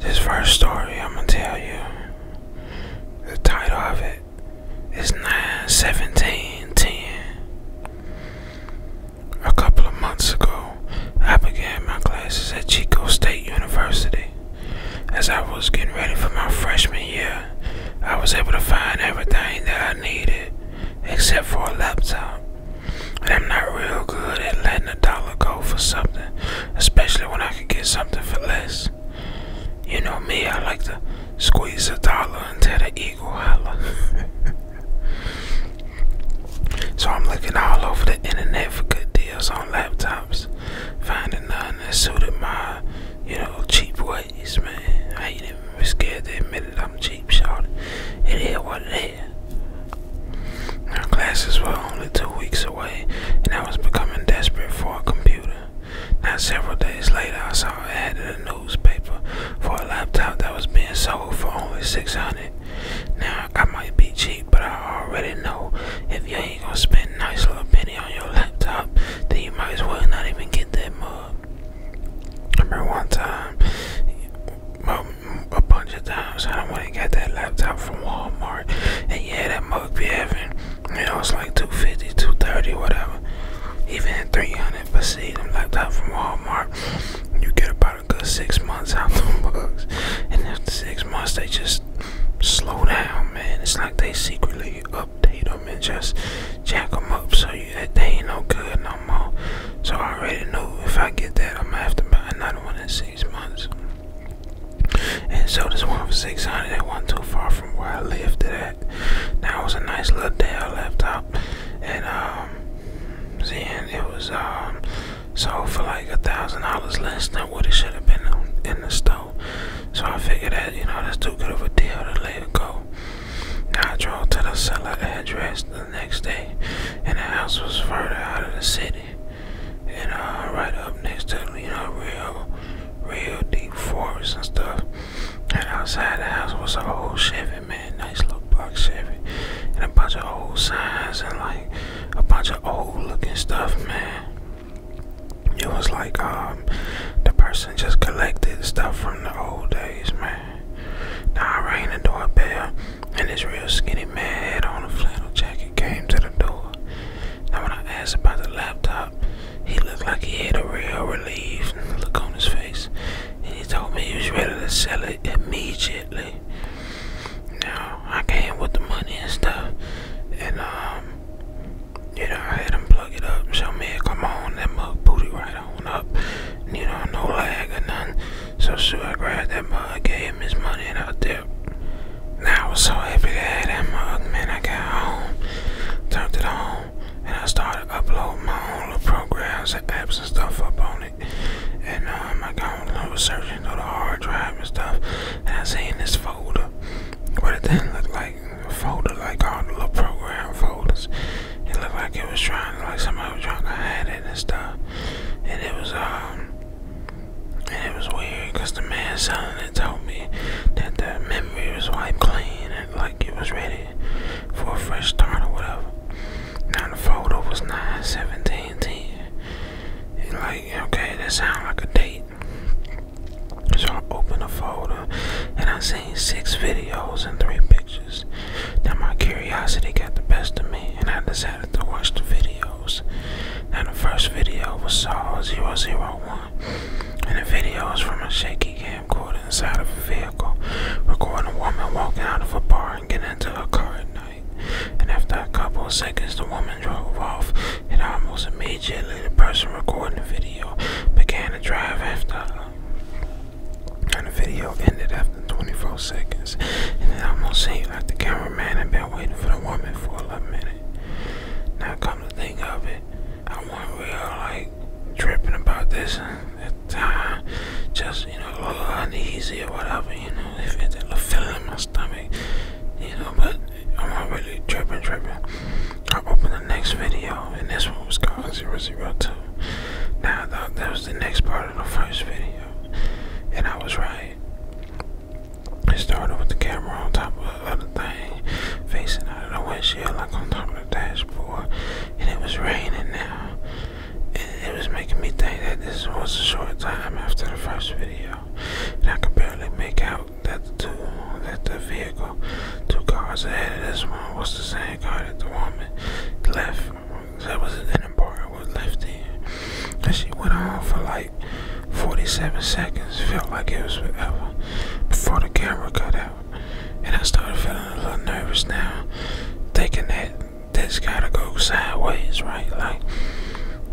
This first story I'm gonna tell you. The title of it is 91710. A couple of months ago, I began my classes at Chico State University. As I was getting ready for my freshman year, I was able to find everything that I needed except for a laptop. I'm not real good at letting a dollar go for something, especially when I can get something for less. You know me, I like to squeeze a dollar until the eagle holler. so I'm looking all over the internet for good deals on laptops jobs, finding none that suited my, you know, cheap ways, man. I ain't even scared to admit it. I'm cheap, short. It is what it is. My classes were only two weeks away, and I was becoming desperate for a computer. Now, several days later, I saw an ad in the newspaper for a laptop that was being sold for only six hundred. Now I might be cheap, but I already know if you ain't ain't gonna spend a nice little penny on your laptop, then you might as well not even get that mug. remember one time, a bunch of times, I went and got that laptop from Walmart, and yeah, that mug be having, you know, it's like 250 230 whatever, even 300 But see, them laptop from Walmart, you get about a good six months out of the mug, and after six months, they just slow down, man. It's like they secretly update them and just jack them up so that they ain't no good no more. So I already know if I get that, I'm gonna have to buy another one in six months. And so this one for 600, that wasn't too far from where I lived at. That was a nice little Dell laptop. And, um, then it was, um, sold for like a thousand dollars less than what it should have been in the store. So I figured that, you know, that's too good of a deal to let it go. Now I drove to the seller's address the next day, and the house was further out of the city. And uh, right up next to, you know, real, real deep forest and stuff. And outside the house was an old Chevy, man, nice little box Chevy. And a bunch of old signs and like a bunch of old looking stuff, man. It was like um, the person just collected stuff from the old days, man. Now I rang the doorbell, and this real skinny man had on a flannel jacket came to the door. Now when I asked about the laptop, he looked like he had a real relief look on his face, and he told me he was ready to sell it immediately. Now I came with the money and stuff, and um, you know, I had him plug it up. So, me, come on, that mug booty right on up. You know, no lag or none. So, sure, I grabbed that mug, gave him his money, and I dipped. Now, I was so happy to have that mug, man. I got home, turned it on, and I started uploading my own little programs and apps and stuff up on it. And um, I got on a little searching through the hard drive and stuff, and I seen this folder. But it didn't look like a folder like all the little program folders. It looked like it was trying to, like somebody was trying to hide it and stuff. And it was um and it was weird because the man selling it told me that the memory was wiped clean and like it was ready for a fresh start or whatever. Now the folder was 9 17 10. And like, okay, that sounds like a date. So I opened a folder and I seen six videos and three pictures. Now my curiosity got the best of me and I decided to watch the videos. And the first video was Saw 001 and the video is from a shaky cam camcorder inside of a vehicle recording a woman walking out of a bar and getting into a car at night. And after a couple of seconds the woman drove off it almost immediately, the person recording the video began to drive after her. And the video ended after 24 seconds. And it almost seemed like the cameraman had been waiting for the woman for a minute. Now, come to think of it, I wasn't real like tripping about this at the Just, you know, a little uneasy or whatever, you know, if it's a feeling in my stomach, you know, but I'm already tripping, tripping. I opened the next video, and this one was called 002. Now I thought that was the next part of the first video, and I was right. It started with the camera on top of the thing, facing out of the windshield, like on top of the dashboard, and it was raining now. And it was making me think that this was a short time after the first video and I could barely make out that the, two, that the vehicle two cars ahead of this one was the same car that the woman left. That was an important was left in. And she went on for like 47 seconds, felt like it was forever, before the camera cut out. And I started feeling a little nervous now, thinking that this gotta go sideways, right? Like,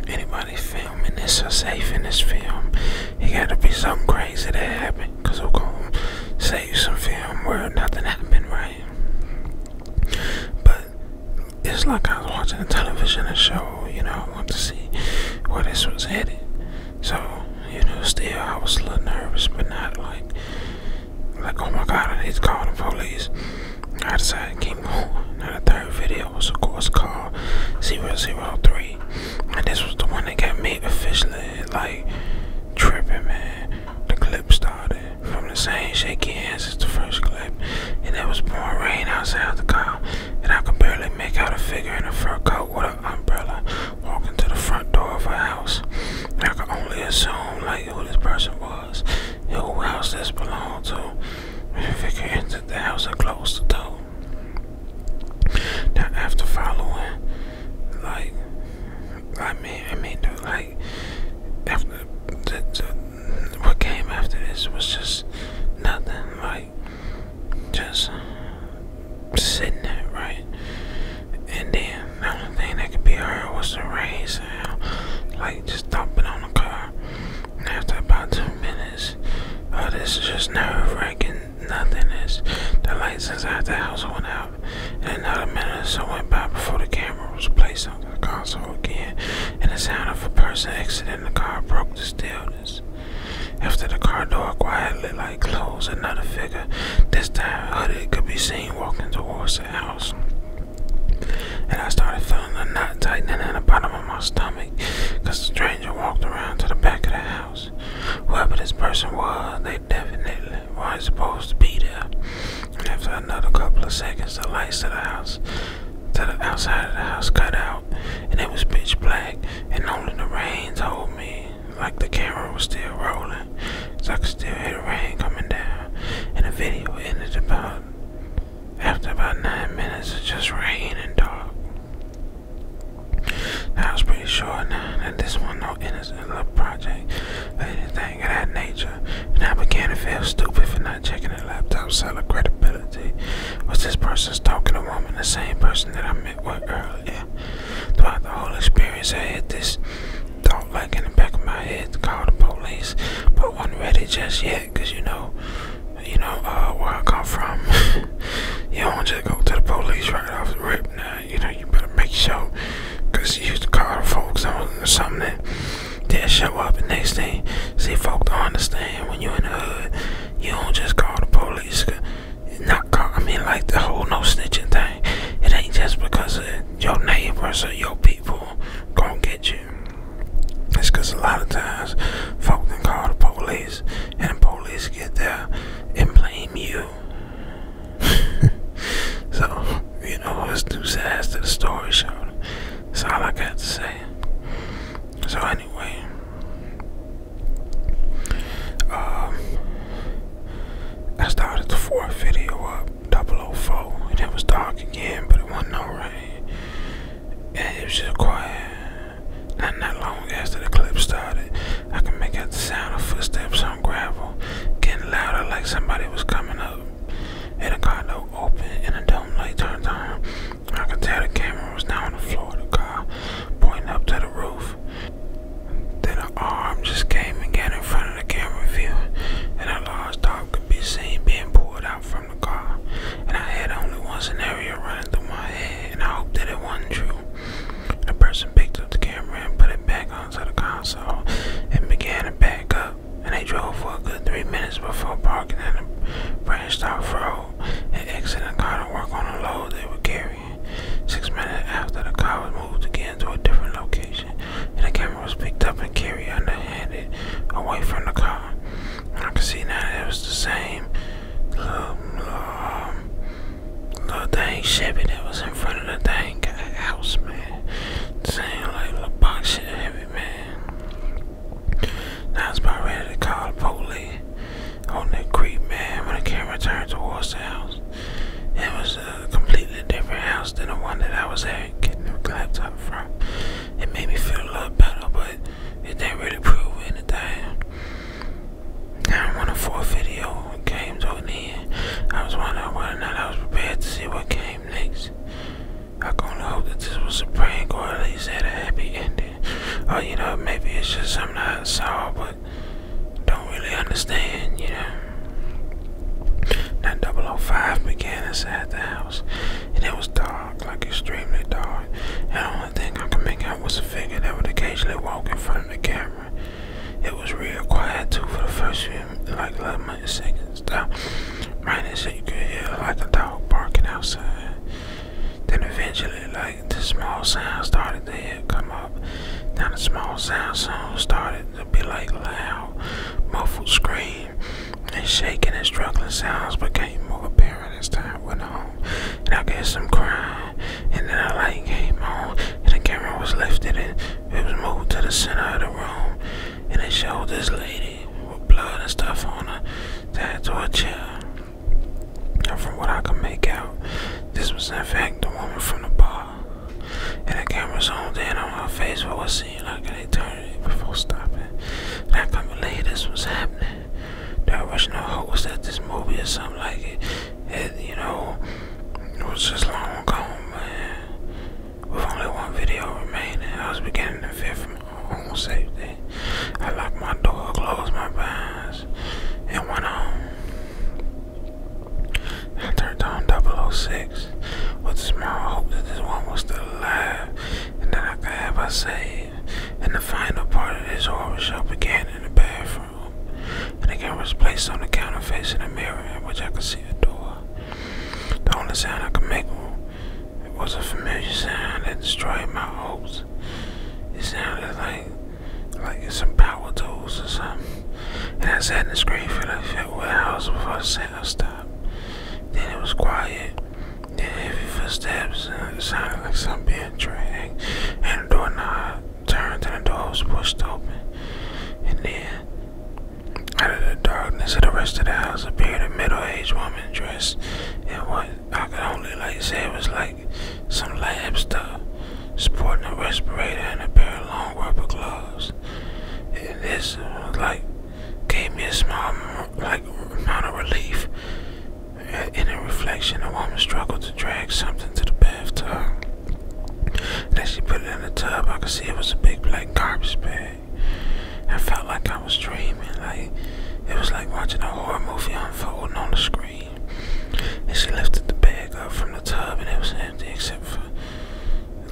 anybody filming this so safe in this film it gotta be something crazy that happened, because we I'm gonna save some film where nothing happened, right? But it's like I was watching a television show, you know, I want to see where this was headed. So, you know, still I was a little nervous, but not like, like oh my god, I need to call the police. I decided to keep going. Now the third video was of course called 003. And this was the one that got me officially like tripping, man. The clip started from the same shaky hands as the first clip, and it was pouring rain outside the car, and I could barely make out a figure in a fur coat with an umbrella walking to the front door of a house. I could only assume like who this person was, and who house this belonged to. If it enter the house and close the door follow. Now after following, like I mean, I mean, like after what came after this was just nothing. Like just sitting there, right? And then the only thing that could be heard was the rain sound, like just thumping on the car. after about two minutes, oh, this just nerve wracking Nothingness. The lights inside the house went out, and another minute or so went by before the camera was placed onto the console again, and the sound of a person exiting the car broke the stillness. After the car door quietly closed, another figure, this time hooded, could be seen walking towards the house. And I started feeling a knot tightening in the bottom of my stomach, because the stranger walked around to the back of the house. Whoever this person was, they definitely weren't supposed to be there. And after another couple of seconds, the lights of the house, to the outside of the house, cut out, and it was pitch black. And only the rain told me, like the camera was still rolling, so I could still hear rain coming down. And the video ended about after about nine minutes of just rain and dark. I was pretty sure that this was no innocent little project or anything of that nature, and I began to feel stupid for not checking the laptop seller credibility. Was this person to a woman, the same person that I met with earlier? Throughout the whole experience, I had this thought like in the back of my head to call the police, but wasn't ready just yet, because you know, you know, uh, where I come from, you don't just go to the police right off the rip. Now, you know, you better make sure, cause you used to call the folks on something that did show up. the next day. see, folks don't understand when you are in the hood, you don't just call the police. Not call, I mean, like the whole no snitching thing. It ain't just because of your neighbors or your people gonna get you. It's cause a lot of times, folks can call the police and the police get there and blame you. so, you know, it's too sad to the story, so that's all I got to say. So, anyway, um, I started the fourth video up, 004, it was dark again, but it wasn't no rain. And it was just quiet. Not not long after the clip started, I could make out the sound of footsteps on gravel, getting louder like somebody was coming up. And a car door opened and a dome light turned on. I could tell the camera was now on the floor of the car, pointing up to the roof. Then an arm just came and got in front of the camera view, and a large dog could be seen being pulled out from the car. And I had only one scenario running through my head, and I hoped that it wasn't true. The person picked up the camera and put it back onto the console and began to back up. And they drove for a good three minutes before parking at a branched off road and exiting the car to work on the load they were carrying. Six minutes after the car was moved again to a different location, and the camera was picked up and carried underhanded away from the car. And I can see now that it was the same little, um, little thing Chevy that was in front of the thing house, man. Same like little box shit man. Now I was about ready to call the police on that creep, man, when the camera turned towards the house. It was a completely different house than the one that I was at getting the laptop from. It made me feel a lot better, but it didn't really prove anything. Now, when the fourth video came to end, I was wondering whether or not I was prepared to see what came next. I can only hope that this was a prank or at least had a happy ending. Or, you know, maybe it's just something I saw but don't really understand, you know. Now 005 began inside the house and it was dark, like extremely dark only thing I could make out what's a figure that would occasionally walk in front of the camera. It was real quiet too for the first few, like 11 seconds. Now, right so you could hear like a dog barking outside. Then eventually, like the small sounds started to come up. Then the small sounds soon started to be like loud, muffled scream, and shaking and struggling sounds But became more apparent as time went on. And I get some crying and then a light came on, and the camera was lifted, and it was moved to the center of the room, and it showed this lady with blood and stuff on her tied to a chair. And from what I could make out, this was in fact the woman from the bar. And the camera zoomed in on her face for what seemed like an eternity before stopping. I couldn't believe this was happening the original host that this movie or something like it. Had, you know, it was just long gone, man. With only one video remaining, I was beginning to fear for my own safety. I locked my door, closed my blinds, and went home. I turned on 006 with small hope that this one was still alive and that I could ever her and the final part of this horror show began in the bathroom, and the camera was placed on the counter facing the mirror in which I could see a door. The only sound I could make was a familiar sound that destroyed my hopes. It sounded like like some power tools or something. And I sat in the screen for like a warehouse before the sound stopped. Then it was quiet. Then heavy footsteps sounded like some being dragged. Uh, and the turned and the door was pushed open. And then, out of the darkness of the rest of the house appeared a middle-aged woman dressed in what I could only like say was like some lab stuff, sporting a respirator and a pair of long rubber gloves. And this like gave me a small like amount of relief in a reflection, a woman struggled to drag something to the bathtub. Then she put it in the tub, I could see it was a big black garbage bag. I felt like I was dreaming, like it was like watching a horror movie unfolding on the screen. And she lifted the bag up from the tub, and it was empty except for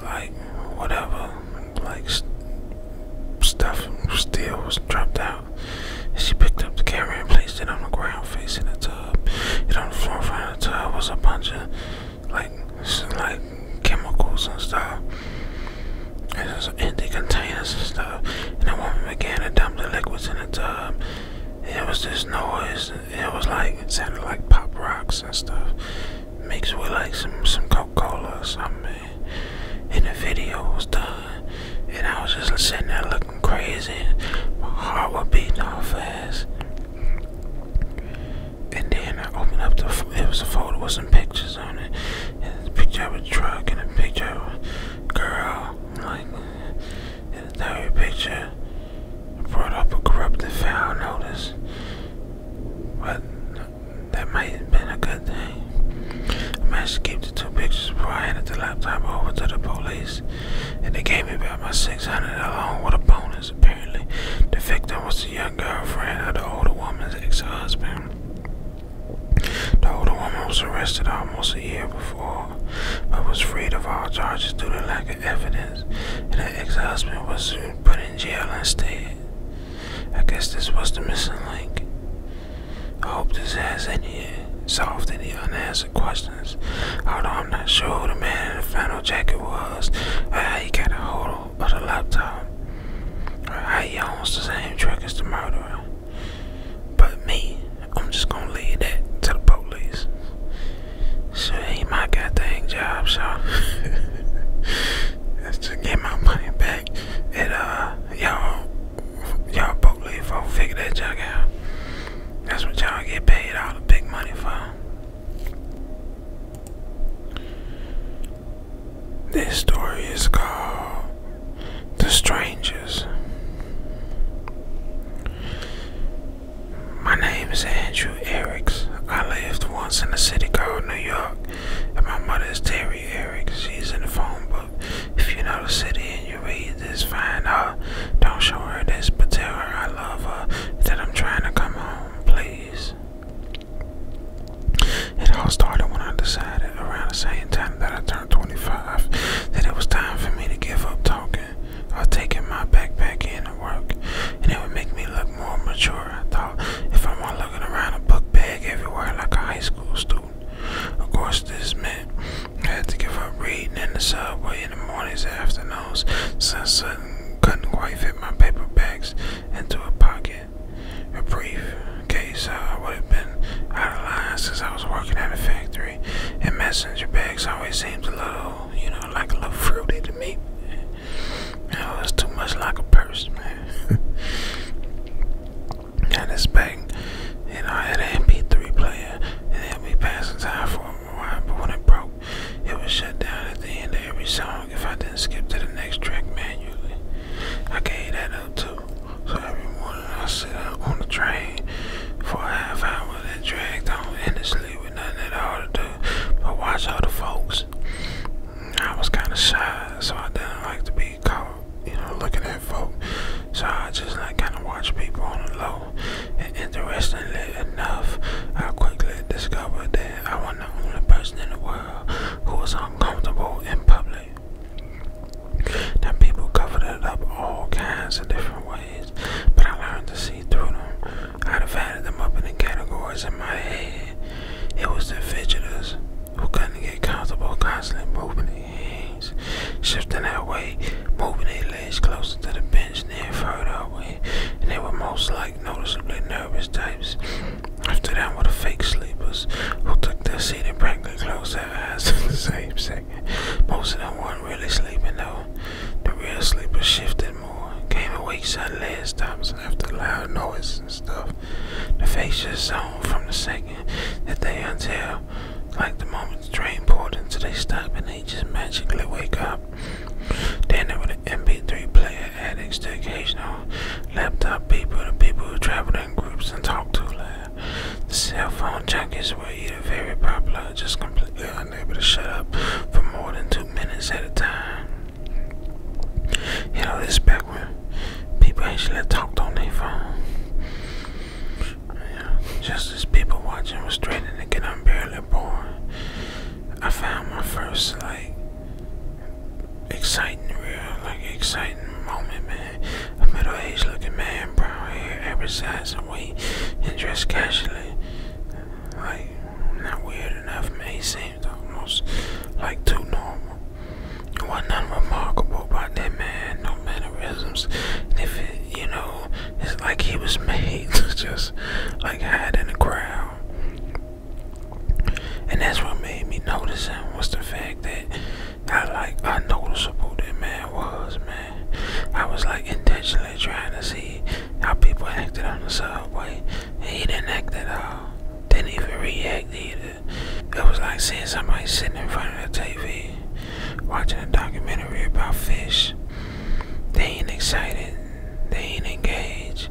like whatever, like st stuff still was dropped out. She picked up the camera and placed it on the ground facing the tub. It on the floor in front of the tub was a bunch of like like chemicals and stuff. And there's empty containers and stuff. And the woman began to dump the liquids in the tub. it was this noise. It was like it sounded like pop rocks and stuff. Mixed with like some some Coca-Cola or something. And the video was done and I was just sitting there looking crazy. My heart was beating all fast. And then I opened up the it was a folder with some pictures on it. a picture of a truck and a picture of a girl. Like and the third picture brought up a corrupted foul notice. But that might have been a good thing. I managed to keep the two pictures before I handed the laptop over to the police and they gave me about my six hundred loan with a bonus. Apparently, the victim was the young girlfriend of the older woman's ex-husband. The older woman was arrested almost a year before, but was freed of all charges due to lack of evidence, and the ex-husband was soon put in jail instead. I guess this was the missing link. I hope this has any solved any unanswered questions. Although I'm not sure who the man in the final jacket was, I ain't got a hold of the laptop, I how he the same truck as the murderer. But me, I'm just gonna leave that to the police. So it ain't my goddamn job, so to get my money back. It uh y'all y'all both leave for figure that junk out. That's what y'all get paid all the big money for. This story is called The Strangers. My name is Andrew Erics. I lived once in a city called New York, and my mother is Terry Erics. She's in the phone book. If you know the city and you read this, find her. Don't show her this, but tell her I love her, that I'm trying to come home, please. It all started when I decided, around the same time that I turned 25, that it was time for me to give up talking or taking my backpack in to work, and it would make me look more mature. I thought if I am not looking around a book bag everywhere like a high school student. Of course, this meant I had to give up reading in the subway in the mornings afternoons since I couldn't quite fit my paper bags into a pocket. A brief case uh, I would have been out of line since I was working at a factory, and messenger bags always seemed a little, you know, like a little fruity to me. You was too much like a purse, man. Got this bag, and I had an MP3 player and helped me pass time for a while, but when it broke, it was shut down at the end of every song if I didn't skip to the next track manually. I gave that up too. So every morning I sit on the train for a half hour that dragged on endlessly with nothing at all to do but watch all the folks. I was kind of shy, so I didn't like to be caught, you know, looking at folk. So I just like kind of watch people on the low. And interestingly enough, I quickly discovered that I was the only person in the world who was uncomfortable in public. Now people covered it up all kinds of different ways, but I learned to see through them. I divided them up into categories in my head. It was the fidgeters who couldn't get comfortable constantly moving shifting their weight, moving their legs closer to the bench, then further away, and they were most like noticeably nervous types. After them were the fake sleepers, who took their seat and practically closed their eyes in the same second. Most of them weren't really sleeping though. The real sleepers shifted more, came awake suddenly and stopped after loud noise and stuff. The faces zoned from the second that they until like the moment the train pulled into they stop and they just magically wake up. Then there with an MP3 player addicts, the occasional laptop people, the people who travel in groups and talk too loud. The cell phone junkies were either very popular just completely unable to shut up for more than two minutes at a time. You know, this back when people actually talked on their phone just as people watching were straining to get unbearably bored, I found my first like exciting, real like exciting moment, man. A middle-aged looking man, brown hair, every size and weight, and dressed casually, like not weird enough. Man, he seemed almost like too normal. It wasn't nothing remarkable about that man, no mannerisms. if it, you know, it's like he was made to just like hide in the crowd. And that's what made me notice him was the fact that I like I noticed noticeable that man was, man. I was like intentionally trying to see how people acted on the subway. And he didn't act at all. Didn't even react either. It was like seeing somebody sitting in front of the TV watching a documentary about fish. They ain't excited, they ain't engaged,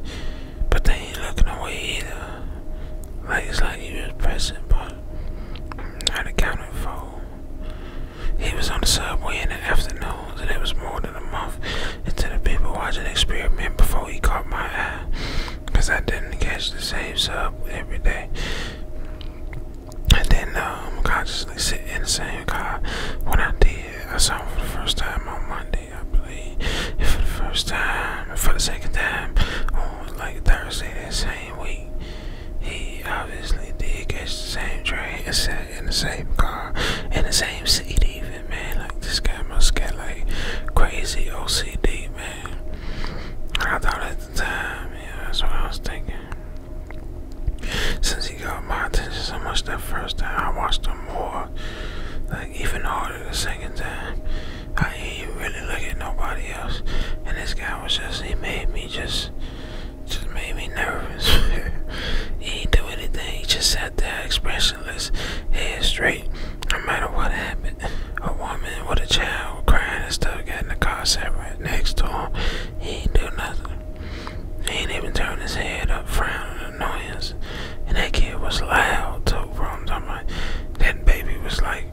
but they ain't looking away either. Like it's like he was present, but not accounted for. He was on the subway in the afternoons, and it was more than a month into the people watching experiment before he caught my eye. Cause I didn't catch the same sub every day. And then um, God just like sitting and saying, God, what I did, I saw him for the first time on Monday, I believe. for the first time, for the second time, on like Thursday that same week, he obviously did catch the same train and sat in the same car, in the same seat even, man. Like, this guy must get like crazy OCD, man. I thought at the time, yeah, that's what I was thinking. Since he got my attention so much that first time, I watched him more, like even harder the second time. I ain't really look at nobody else, and this guy was just—he made me just, just made me nervous. he did do anything; he just sat there expressionless, head straight. No matter what happened, a woman with a child crying and stuff got in the car, sat right next to him, he ain't do nothing. He ain't even turn his head up, frowning annoyance. And that kid was loud too, bro. I'm like, that baby was like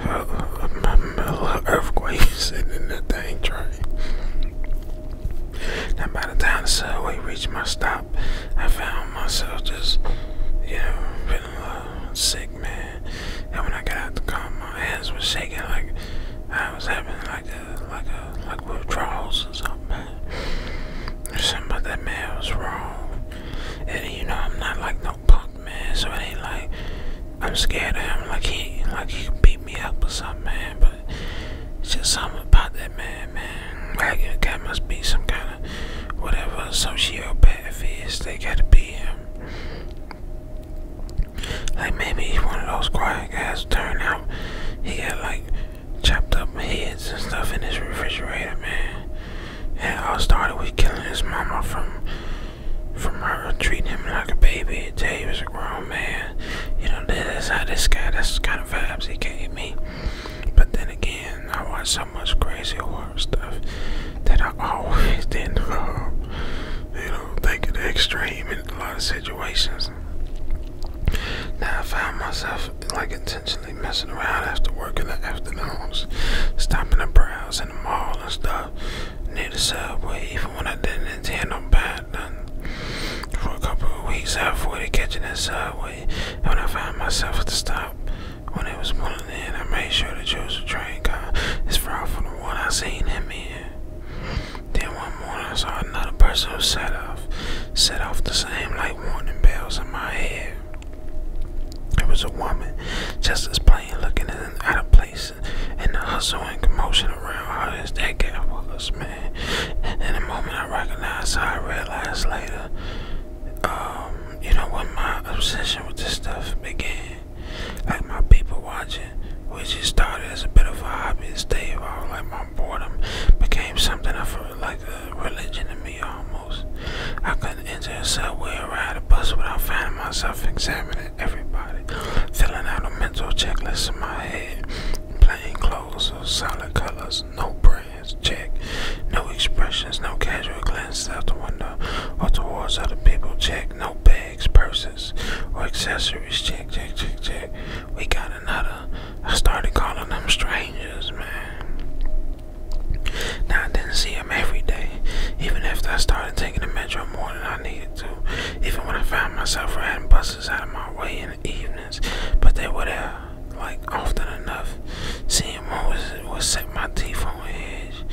uh, a little earthquake sitting in that dang train. Now by the time the subway reached my stop, I found myself just, you know, feeling a sick, man. And when I got out the car, my hands were shaking like I was having like a like a like withdrawals or something. Man. There's something about that man was wrong. And you know I'm not like no punk man, so it ain't like I'm scared of him like he like he beat me up or something man, but it's just something about that man, man. Like that guy must be some kind of whatever sociopath is, they gotta be him. Like maybe he's one of those quiet guys. Turn out he got like chopped up heads and stuff in his refrigerator, man. And it all started with killing his mama from from her treating him like a baby until he was a grown man. You know, that's how this guy, that's the kind of vibes he gave me. But then again, I watch so much crazy horror stuff that I always didn't, um, you know, think of the extreme a lot of situations that I found myself like intentionally messing around after work in the afternoons, stopping to browse in the mall and stuff near the subway, even when I didn't intend on buying nothing. For a couple of weeks, I avoided catching the subway, and when I found myself at the stop, when it was pulling in, I made sure to choose a train car. Uh, it's far from the one I seen him in. Then one morning I saw another person who set off, set off the same like warning bells in my head. It was a woman, just as plain looking and out of place, and the hustle and commotion around her as that guy was, man. And the moment I recognized her, I realized later, um, you know, when my obsession with this stuff began. Like my people watching, which just started as a bit of a hobby, it's day evolved. Like my boredom became something I felt like a religion to me almost. I couldn't enter a subway or ride a bus without finding myself examining everybody, filling out a mental checklist in my head, plain clothes solid colors, no brands, check, no expressions, no casual glance out the window or towards other people, check, no bad purses, or accessories. Check, check, check, check. We got another. I started calling them strangers, man. Now I didn't see them every day. Even after I started taking the metro more than I needed to. Even when I found myself riding buses out of my way in the evenings. But they were there, like, often enough. Seeing what was, was set my teeth on edge.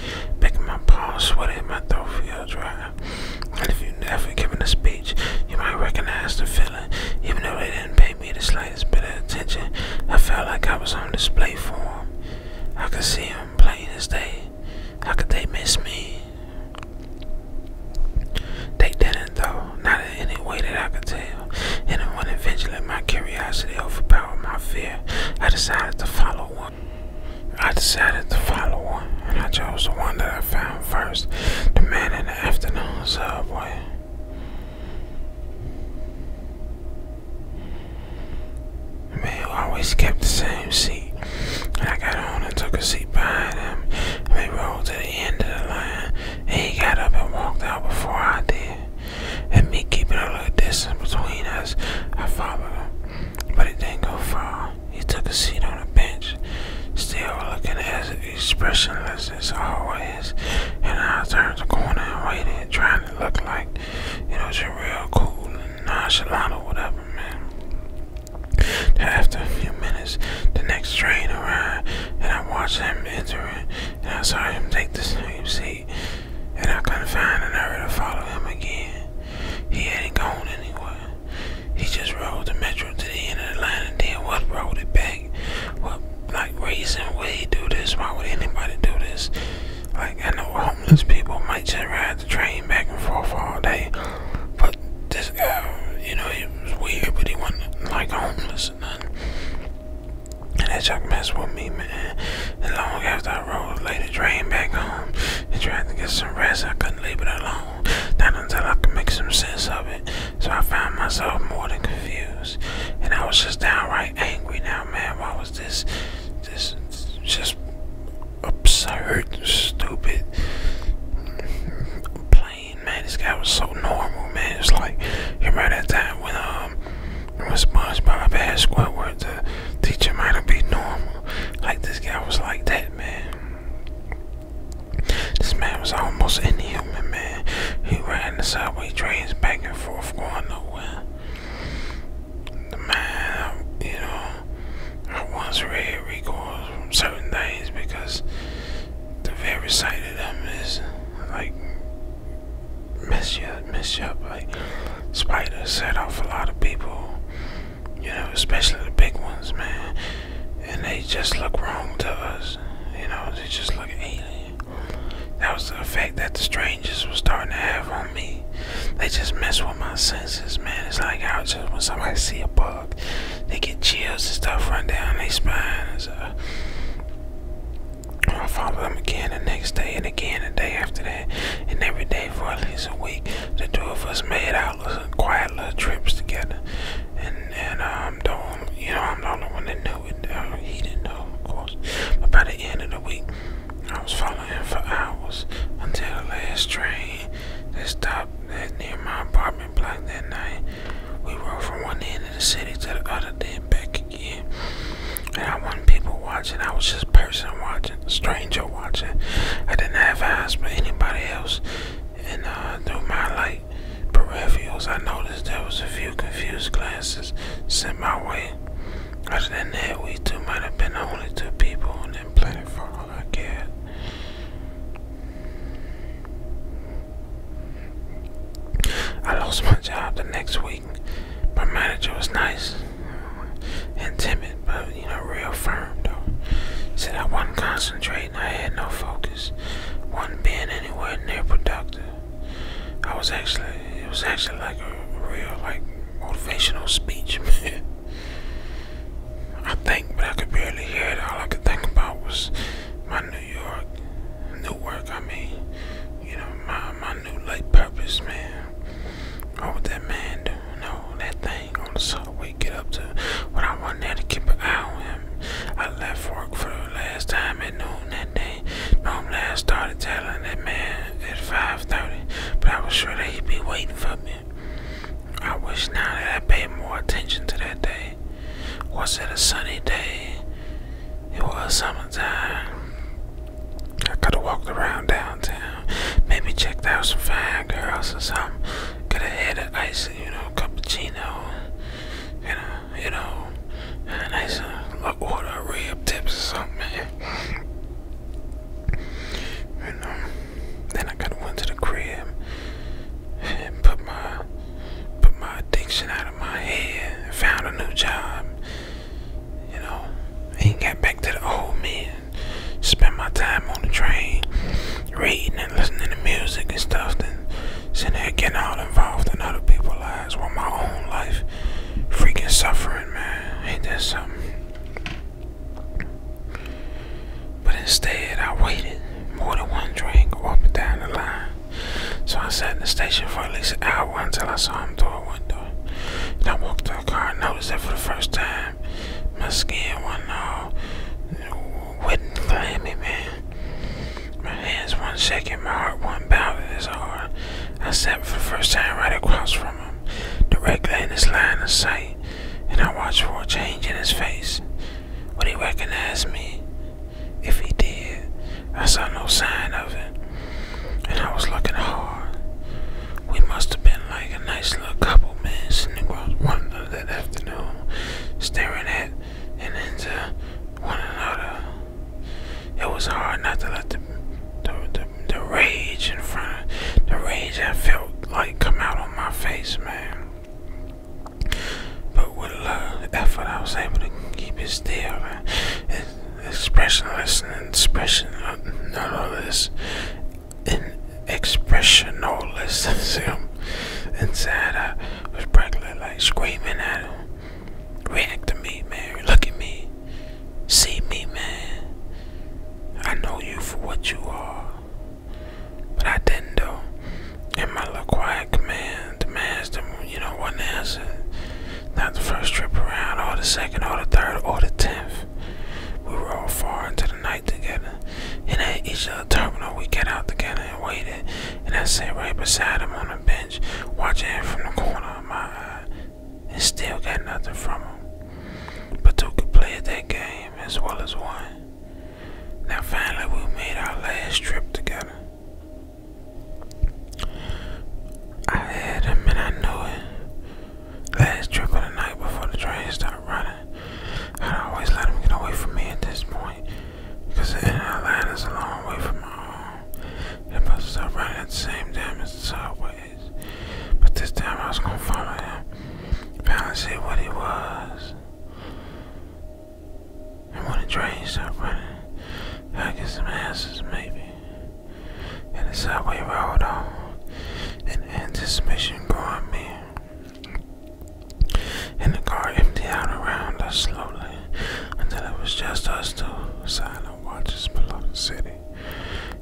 Making my palms sweaty my throat feel dry. And if you've never given a speech, you might recognize the feeling. Even though they didn't pay me the slightest bit of attention, I felt like I was on display for them. I could see them playing this day. How could they miss me? They didn't, though, not in any way that I could tell. And when eventually my curiosity overpowered my fear, I decided to follow one. I decided to follow one, and I chose the one that I found first the man in the afternoon subway. The man always kept the same seat. I got on and took a seat behind him. We rolled to the end of the line, and he got up and walked out before I did. And me keeping a little distance between us, I followed him, but it didn't go far. He took a seat on a bench, still looking as expressionless as always. And I turned the corner and waited, trying to look like, you know, just real cool and nonchalant or whatever, man. After a few minutes, the next train arrived, and I watched him enter it, and I saw him take the same seat, and I couldn't find another to follow him again. He hadn't gone anywhere. He just rode the metro to the end of the line and then what rode it back? What like reason would he do this? Why would anybody do this? Like I know homeless people might just ride the train back and forth all day. But this guy, you know, he was weird but he wasn't like homeless or nothing. And that truck messed with me, man. And long after I rode later train back home and tried to get some rest, I couldn't leave it alone not until I can make some sense of it. So I found myself more than confused, and I was just downright angry now, man. Why was this, this, just absurd, stupid, plain, man? This guy was so normal, man. It's like, you remember that time when, um, when SpongeBob had Squidward, the teacher might have be normal. Like, this guy was like that, man. This man was almost any human man. He ran the subway trains back and forth, going nowhere. The man, you know, I once read recoils from certain things because the very sight of them is like mess up, mess you up. Like, Spider set off a lot of people you know, especially the big ones, man. And they just look wrong to us, you know, they just look alien. That was the effect that the strangers were starting to have on me. They just mess with my senses, man. It's like how just when somebody see a bug, they get chills and stuff run down their spine. So uh, I follow them again the next day and again the day after that and every day for at least a week the two of us made out little, quiet little trips together. And and um, don't you know I'm the only one that knew it. Uh, he didn't know, of course. But by the end of the week, I was following him for hours until the last train that stopped near my apartment block that night. We rode from one end of the city to the other, then back again. And I wasn't people watching, I was just person watching, stranger watching. I didn't have eyes for anybody else and uh, through my light peripherals, I noticed there was a few confused glasses sent my way. Other than that, we two might have been the only two people on that planet for all I cared. I lost my job the next week. My manager was nice and timid, but you know, real firm though. Said I wasn't concentrating, I had no focus, wasn't being anywhere near productive. I was actually, it was actually like a real, like, motivational speech, man. I think, but I could barely hear it. All I could think about was my New York, new work, I mean, you know, my, my new life purpose, man. What would that man do? No, that thing on the subway get up to when I went to keep an eye on I left work for the last time at noon that day. Mom last started telling that man at 5.30, but I was sure that he'd be waiting for me. I wish now that I paid more attention to that day. Was it a sunny day? It was summertime. I could have walked around downtown maybe check out some fine girls or something. Get a head of ice, you know, cappuccino, you know, you know, And a said, "Look, order of rib tips or something, You know, then I could have went to the crib and put my put my addiction out of my head and found a new job. You know, and got back to the old me and spend my time on the train reading and listening to music and stuff then sitting there getting all involved in other people's lives while my own life freaking suffering, man. Ain't that something? But instead, I waited more than one train up and down the line. So I sat in the station for at least an hour until I saw him through a window. And I walked to the car and noticed that for the first time. My skin wasn't all wet and clammy, man. My hands one shaking, my heart one bounding his hard. I sat for the first time right across from him, directly in his line of sight, and I watched for a change in his face. Would he recognize me? If he did, I saw no sign of it, and I was looking hard. We must have been like a nice little couple, man, sitting across one that afternoon, staring at and into one another. It was hard not to let the the, rage in front of the rage I felt like come out on my face, man. But with love, effort, I was able to keep it still and expressionless and this an expressionless inside. I was practically like screaming at him. React to me, man. Look at me. See me, man. I know you for what you are. But I didn't, know. And my little quiet command demands them, you know, one answer. Not the first trip around, or the second, or the third, or the tenth life. We rode far into the night together, and at each of the terminal, we got out together and waited. And I sat right beside him on the bench, watching him from the corner of my eye, and still got nothing from him. But two could play that game as well as one. Now, finally, we made our last trip together. I had him and I knew it. Last trip of the night before the train started running. I always let him get away from me at this point. Because in Atlanta's a long way from my home. It buses up right at the same damn as the subways. But this time I was gonna follow him. Finally see what he was. And when the train stopped running, I get some answers maybe. And the subway rolled on. In anticipation growing me. And the car emptied out around us slowly until it was just us two silent watchers below the city.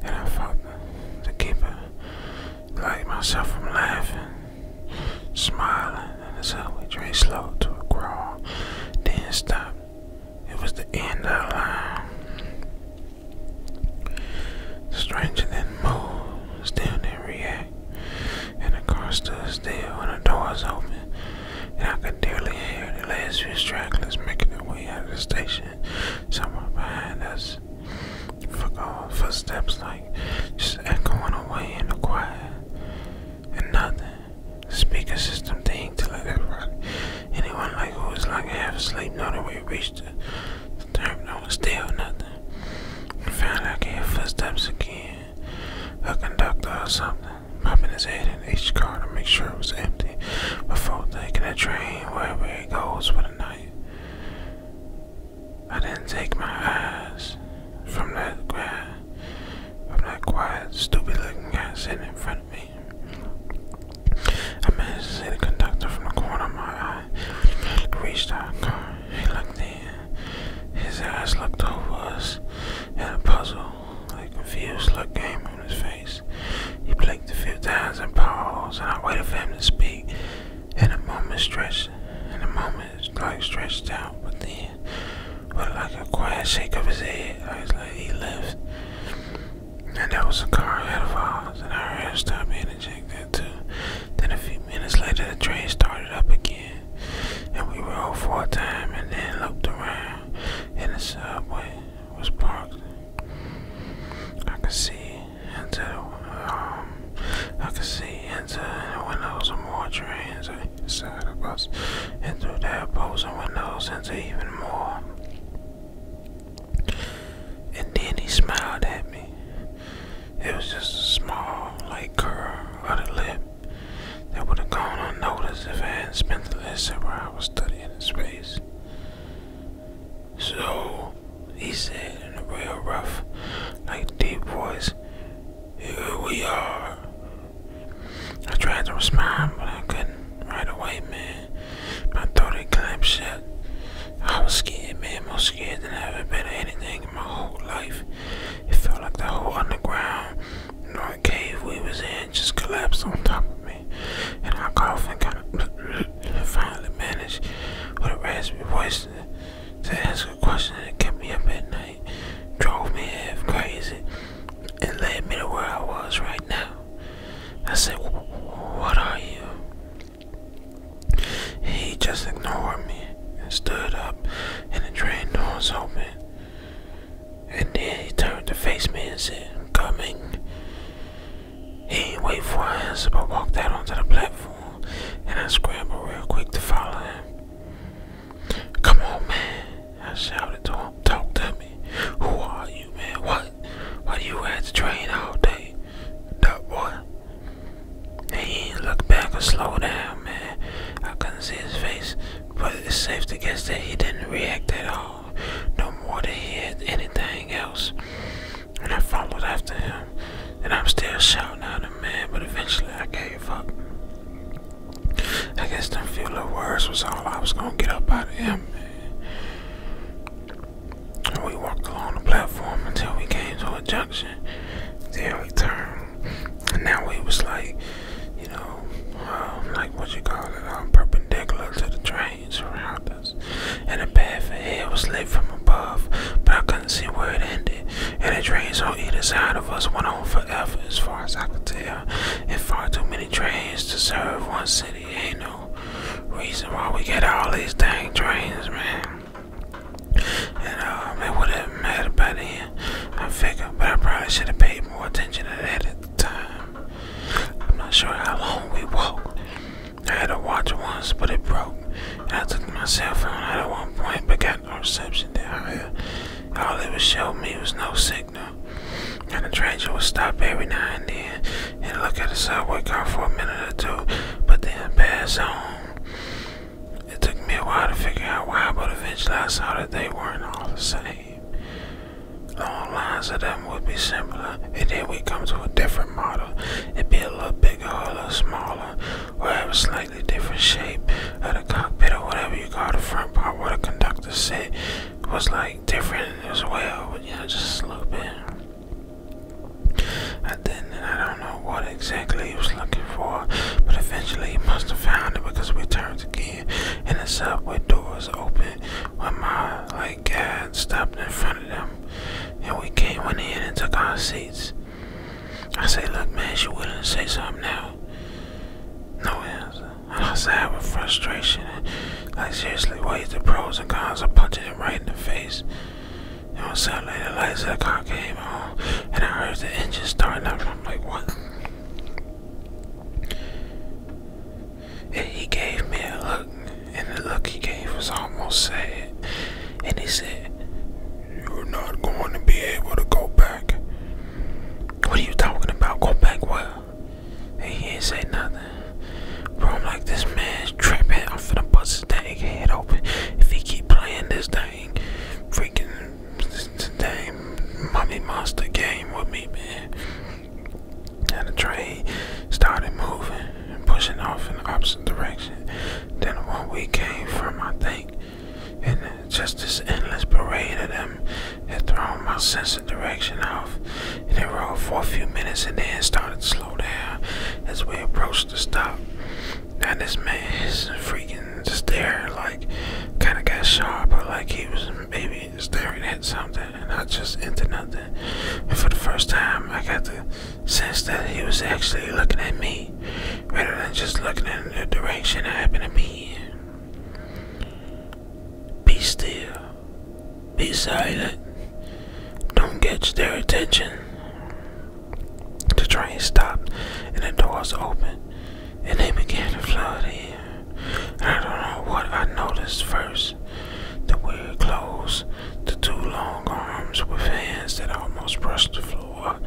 And I felt the, the keeper like myself from laughing, smiling, and as we drained slow to a crawl, then stop. It was the end of the line. Stranger than move, still didn't react. And the car stood still when the doors open, and I could barely hear the last few stragglers making their way out of the station. Somewhere behind us, for steps like just echoing away in the quiet, and nothing. speaker system thing to let that everybody, anyone like who is was like half asleep, not a we reached reached the, the terminal nothing. found I could hear footsteps again. A conductor or something popping his head in each car to make sure it was empty before taking a train wherever it goes for the night. I didn't take my eyes from that quiet, from that quiet, stupid-looking guy sitting in front of me. I managed to see the conductor from the corner of my eye reached our He looked in. His eyes looked over us, and a puzzled, like confused look came on his face. He blinked a few times and paused, and I waited for him to speak. And a moment stretched, and a moment like stretched out, but then, with like a quiet shake of his head, I was like, he left. And there was a car ahead a ours, and I heard stop being ejected. Then a few minutes later, the train started up again, and we rode for a time and then looked around, and the subway was parked. I could see into the, um, I could see into the windows of more trains inside of bus, and through their opposing windows into even more. And then he smiled at me. It was just a small, light curl of the lip that would have gone unnoticed if I hadn't spent the last several hours studying his face. So, he said in a real rough, like deep voice, Here we are. I tried to respond, but I couldn't right away, man. My throat had clamped shut. I was scared, man, more scared than I've ever been of anything in my whole life. It felt like the whole underground north cave we was in just collapsed on top of me. And I coughed and kind of finally managed with a raspy voice to ask a question that kept me up at night, drove me half crazy, and led me to where I was right now. I said, What are you? He just ignored me and stood up, and the train doors was open. And then he turned to face me and said, I'm coming. He did wait for us, but walked out onto the platform, and I scrambled real quick to follow him. Come on, man, I shouted to him. Talk to me. Who are you, man? What? Why do you at the train all day? That boy. He didn't look back or slow down, man. I couldn't see his face, but it's safe to guess that he didn't react at all, no more than he had anything else. And I followed after him, and I'm still shouting at him, man, but eventually I gave up. I guess them few little words was all I was gonna get up out of him, man. We walked along the platform until we came to a junction. Then we turned, and now we was like, you know, um, like what you call it, um, perpendicular to the trains around us. And the path ahead was lit from above, but I couldn't see where it ended. And the trains on either side of us went on forever, as far as I could tell. And far too many trains to serve one city. Ain't no reason why we get all these dang trains, man. And um, would have mattered by then, I figure. But I probably should have paid more attention to that at the time. I'm not sure how long we walked. I had a watch once, but it broke. And I took my cell phone out at one point, but got no reception there. All it would show me was no signal. And the train would stop every now and then and look at the subway car for a minute or two, but then pass on. It took me a while to figure out why, but eventually I saw that they weren't all the same. Long lines of them would be similar, and then we come to a different model. It'd be a little bigger or a little smaller, or have a slightly different shape of the cockpit or whatever you call the front part where the conductor sit was like different as well, but yeah, just a little bit. And then I don't know what exactly he was looking for, but eventually he must have found it because we turned again and the subway doors opened when my like dad stopped in front of them and we came in and took our seats. I say, look man, she willing to say something now. No answer. I I sad with frustration like seriously weighed the pros and cons of punching him right in the face. You know, like the lights of the car came on, and I heard the engine starting up, and I'm like, what? And he gave me a look, and the look he gave was almost sad. And he said, You're not going to be able to go back. What are you talking about? Go back what? he ain't say nothing. Bro, I'm like, this man's tripping. I'm finna bust his head open. If he keep playing this thing, freaking this damn mummy monster game with me, man. And the train started moving and pushing off in the opposite direction than the one we came from, I think. And just this endless parade of them had thrown my sense of direction off. And it rolled for a few minutes and then started to slow down as we approached the stop. And this man is freaking stare like kind of got sharp, but like he was maybe staring at something and I just into nothing. And for the first time, I got the sense that he was actually looking at me rather than just looking in the direction I happen to be in. Be still. Be silent. Don't get their attention. The train stopped and the doors opened, and they began to flood in. I don't know what I noticed first the weird clothes, the two long arms with hands that almost brushed the floor,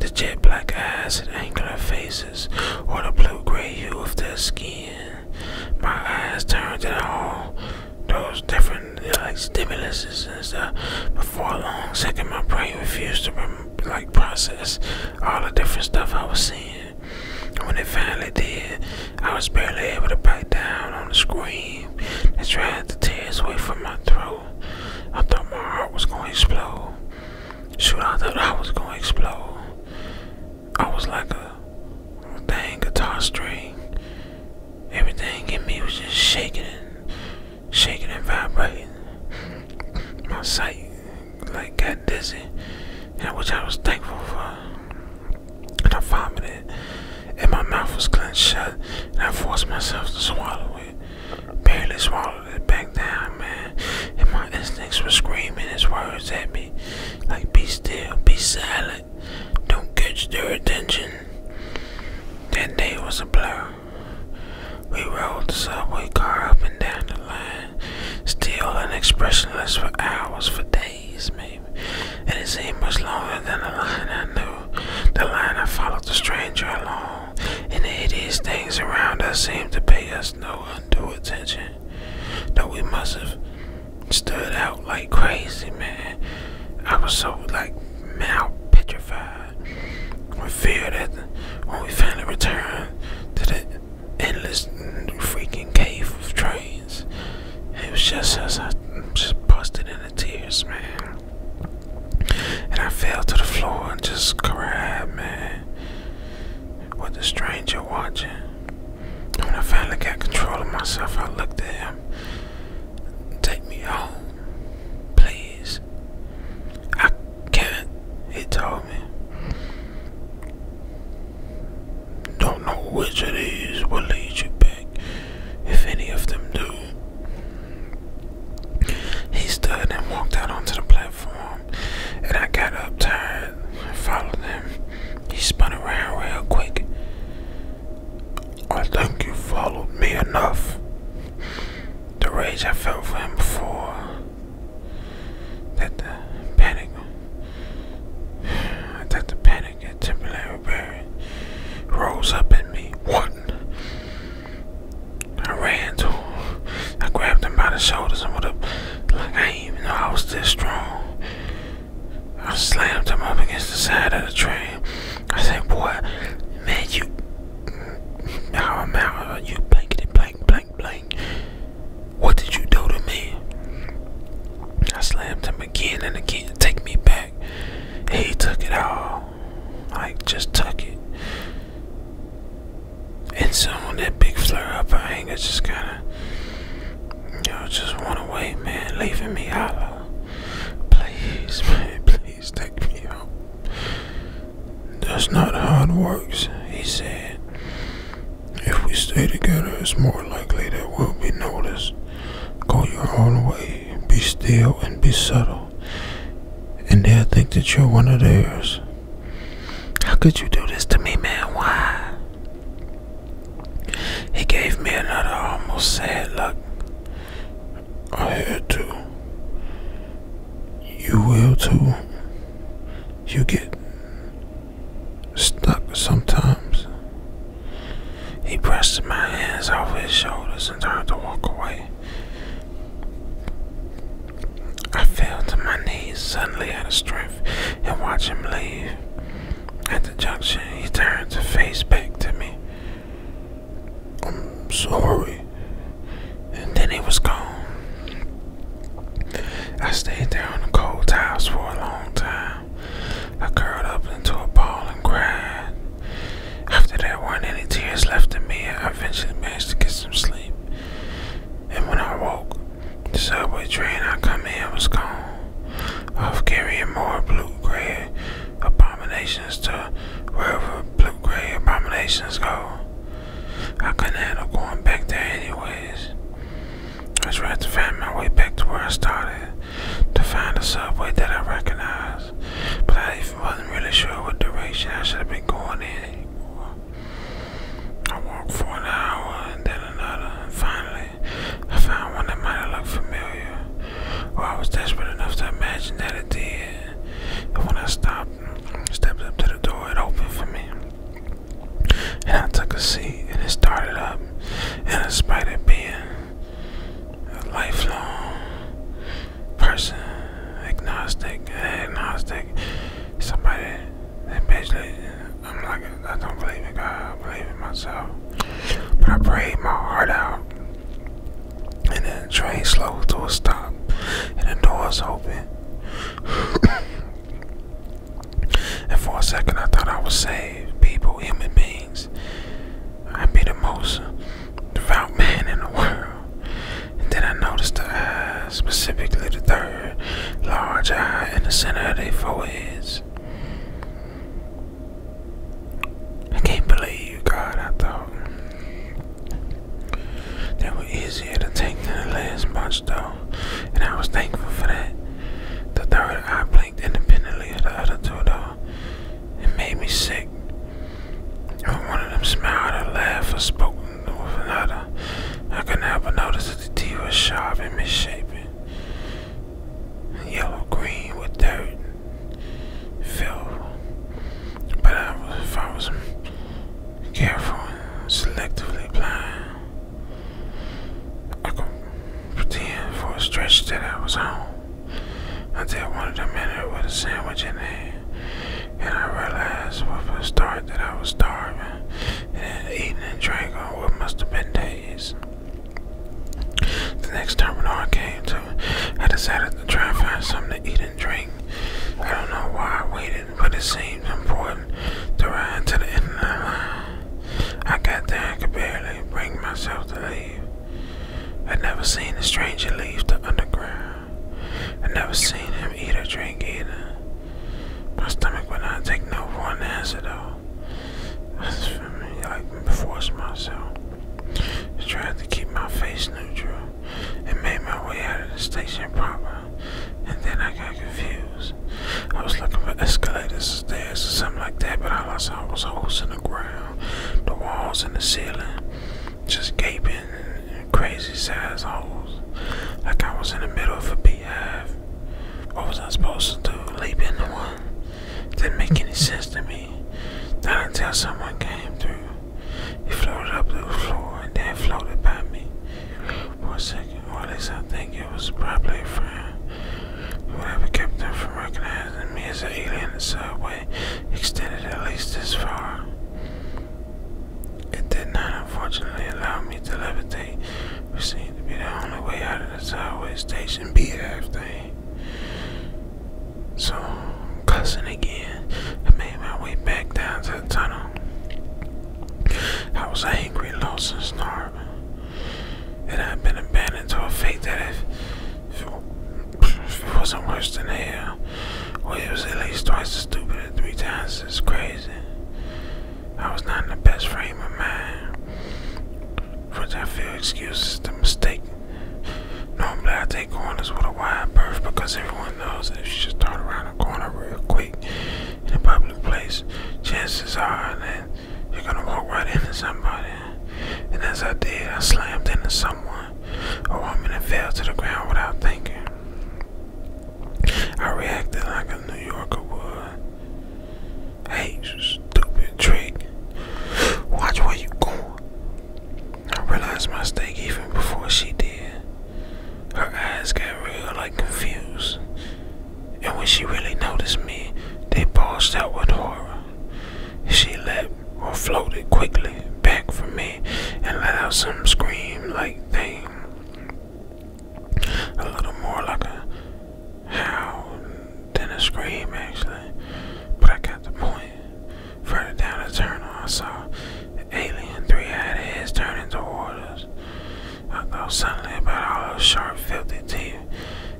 the jet black eyes and angular faces, or the blue gray hue of their skin. My eyes turned to all those different certain like stimuluses and stuff. Uh, before a long second, my brain refused to like process all the different stuff I was seeing. When it finally did, I was barely able to bite down on the scream that tried to tear its way from my throat. I thought my heart was going to explode. Shoot, I thought I was going to explode. I was like a dang guitar string. Everything in me was just shaking and shaking and vibrating. My sight like got dizzy, and which I was thankful for. And I vomited, and my mouth was clenched shut, and I forced myself to swallow it. Barely swallowed it back down, man. And my instincts were screaming his words at me, like be still, be silent, don't catch their attention. That day was a blur. We rode the subway car up and down the line, still and expressionless for hours, for days maybe. And it seemed much longer than the line I knew. The line I followed the stranger along, and the hideous things around us seemed to pay us no undue attention. Though we must have stood out like crazy, man. I was so like, man, petrified. We feared that when we finally returned to the endless freaking cave of trains, it was just us. I just busted into tears, man. And I fell to the floor and just cried, man. With the stranger watching. When I finally got control of myself, I looked at him. Take me home, please this. I can't, it told me. Don't know which of these will lead you back, if any of them do. He stood and walked out onto the platform, and I got up tired followed him. He spun around real quick. I think you followed me enough. The rage I felt for him before. That the panic. That the panic and temporary barrier rose up in me. What? I ran to him. I grabbed him by the shoulders and with a like I didn't even know I was this strong. I slammed him up against the side of the train. I said, boy, man, you how am I, uh, you blankety blank, blank, blank. What did you do to me? I slammed him again and again. Take me back. he took it all. I just took it. And so on that big flare up of anger just kind of, you know, just went away, man, leaving me hollow. Please, man, please please take me home. That's not how it works, he said. If we stay together, it's more likely that we'll be noticed. Go your own way, be still, and be subtle. And they'll think that you're one of theirs. How could you do this to me, man? Why? He gave me another almost sad look. I had to. You will too. You get stuck sometimes. He pressed my hands off his shoulders and tried to walk away. I fell to my knees suddenly out of strength and watched him leave. At the junction, he turned to face back to me. I'm sorry. And then he was gone. I stayed there on the cold tiles for a long time. I curled up into a ball and cried. After there weren't any tears left in me, I eventually managed to get some sleep. And when I woke, the subway train I come in was gone. I was carrying more blue, gray, abominations to wherever blue gray abominations go. I couldn't handle going back there anyways. I was trying to find my way back to where I started, to find a subway that I recognized, but I wasn't really sure what direction I should have been going in anymore. I walked for an hour and then another, and finally, I found one that might have looked familiar, or I was desperate enough to imagine that it did. And when I stopped, stepped up to the door, it opened for me. And I took a seat, and it started up. And in spite of being a lifelong person, agnostic, agnostic, somebody that basically, I'm like, I don't believe in God, I believe in myself. But I prayed my heart out and then the train slowed to a stop, and the doors open. and for a second, I thought I was saved. People, human beings, I'd be the most devout man in the world. And then I noticed the eyes, specifically the third large eye in the center of their foreheads. I can't believe you, got I though. they were easier to take than the last bunch, though, and I was thankful for that. The third eye blinked independently of the other two, though. It made me sick. When one of them smiled or laughed or spoke with another, I couldn't help but notice that the teeth were sharp and misshapen. Yellow green with dirt fell. But I was, if I was careful and selectively blind, I could pretend for a stretch that I was home. Until one of the men with a sandwich in hand, and I realized with a start that I was starving and eating and drinking on what must have been days. The next terminal I came to, I decided to try and find something to eat drink. I don't know why I waited, but it seemed important to ride to the end of the line. I got there and could barely bring myself to leave. I'd never seen a stranger leave the underground. I'd never seen him eat or drink either. My stomach would not take no one an answer though. I like forced myself. I tried to keep my face neutral and made my way out of the station proper. And then I got confused. I was looking for escalators, stairs, or something like that, but all I saw was holes in the ground, the walls, and the ceiling, just gaping crazy size holes. Like I was in the middle of a beehive. What was I supposed to do? Leap into one? Didn't make any sense to me. Not until someone came through it floated up to the floor and then floated by me for a second, or at least I think it was probably a friend. Whatever kept them from recognizing me as an alien, the subway extended at least this far. It did not, unfortunately, allow me to levitate, which seemed to be the only way out of the subway station, beat everything. So, cussing again, I made my way back down to the tunnel. I was angry, lost, and starving. And I'd been abandoned to a fate that if, if it wasn't worse than hell, well, it was at least twice as stupid and three times as crazy. I was not in the best frame of mind, which I feel excuses the mistake Normally, I take corners with a wide berth because everyone knows that if you just turn around a corner real quick in a public place, chances are that you're gonna walk right into somebody. And as I did, I slammed into someone, a woman, and fell to the ground without thinking. I reacted like a New Yorker would. Hey, stupid trick. Watch where you going. I realized my mistake even before she did. Her eyes got real like confused. And when she really noticed me, they bulged out with horror. She leapt or floated quickly back from me and let out some scream like thing. A little more like a howl than a scream actually. But I got the point. Further down the tunnel, I saw Alien 3 had heads turning toward us. I thought suddenly about all those sharp, filthy teeth,